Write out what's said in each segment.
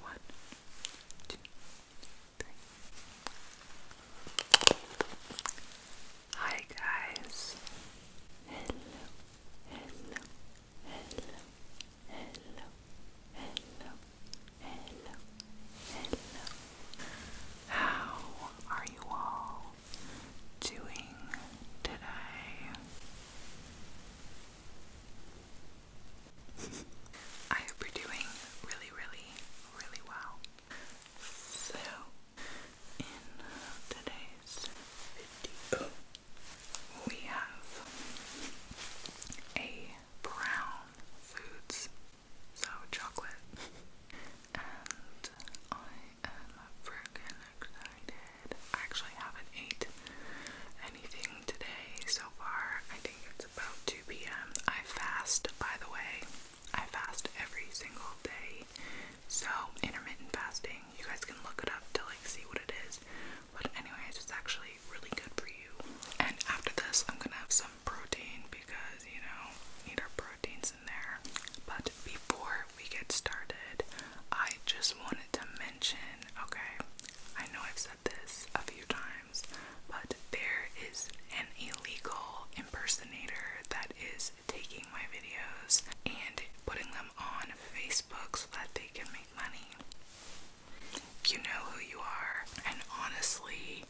One, two, three. Hi guys. Hello, hello, hello, hello, hello, hello, hello. How are you all doing today? I hope you're doing really, really, really well. So, in today's video, we have a brown foods, so chocolate, and I am freaking excited. I actually haven't ate anything today so far. I think it's about 2 p.m. I fast, by the way. I fast every single day. So, intermittent fasting. You guys can look it up to like see what it is. But anyways, it's actually really good for you. And after this, I'm going to have some protein because, you know, need our proteins in there. But before we get started, I just wanted to okay, I know I've said this a few times, but there is an illegal impersonator that is taking my videos and putting them on Facebook so that they can make money. You know who you are, and honestly,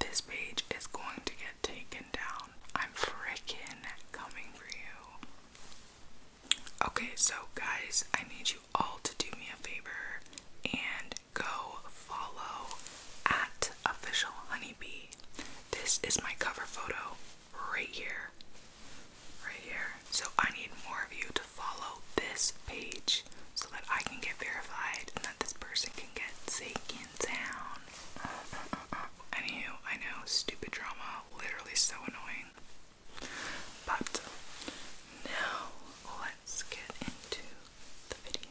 this page is going to get taken down. I'm freaking coming for you. Okay, so guys, I need you all to do me a favor and go follow at official honeybee. This is my cover photo right here. Right here. So I need more of you to follow this page so that I can get verified and that this person can get taken down. Uh, Anywho, I know, stupid drama, literally so annoying. But now let's get into the video.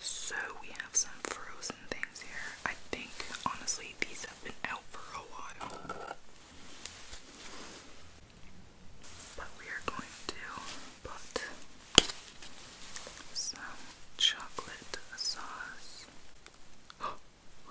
So we have some frozen things here. I think honestly these have been out for a while. But we are going to put some chocolate sauce.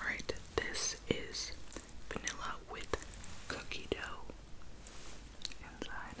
All right, this is vanilla with cookie dough inside.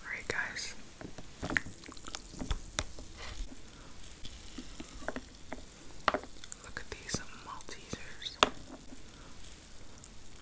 All right, guys. Look at these Maltesers.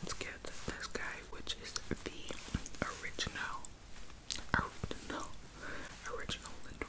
Let's get this guy, which is the original, original, original Lindor.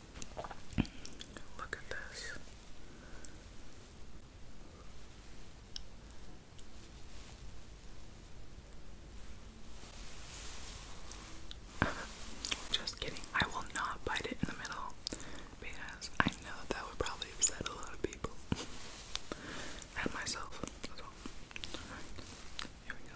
Just kidding. I will not bite it in the middle because I know that would probably upset a lot of people and myself. here we go.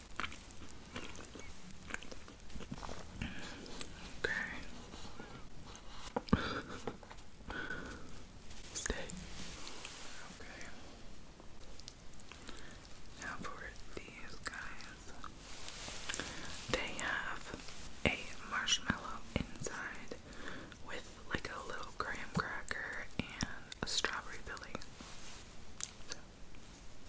Okay. Stay. Okay. Now for these guys, they have a marshmallow inside with like a little graham cracker and a strawberry filling.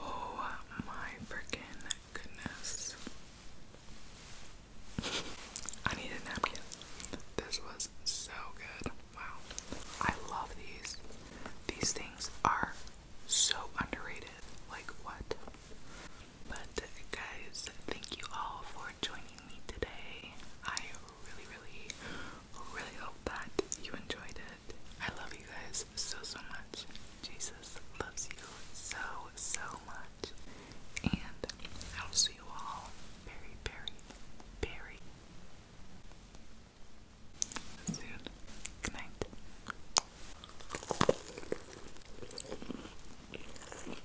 Oh my freaking goodness. I need a napkin. This was so good. Wow. I love these. These things are so underrated. Like, what? But, guys, thank you all for joining me today. I really, really, really hope that you enjoyed it. I love you guys so, so much. Jesus loves you so, so much. And I will see you all very, very, very soon. Good night.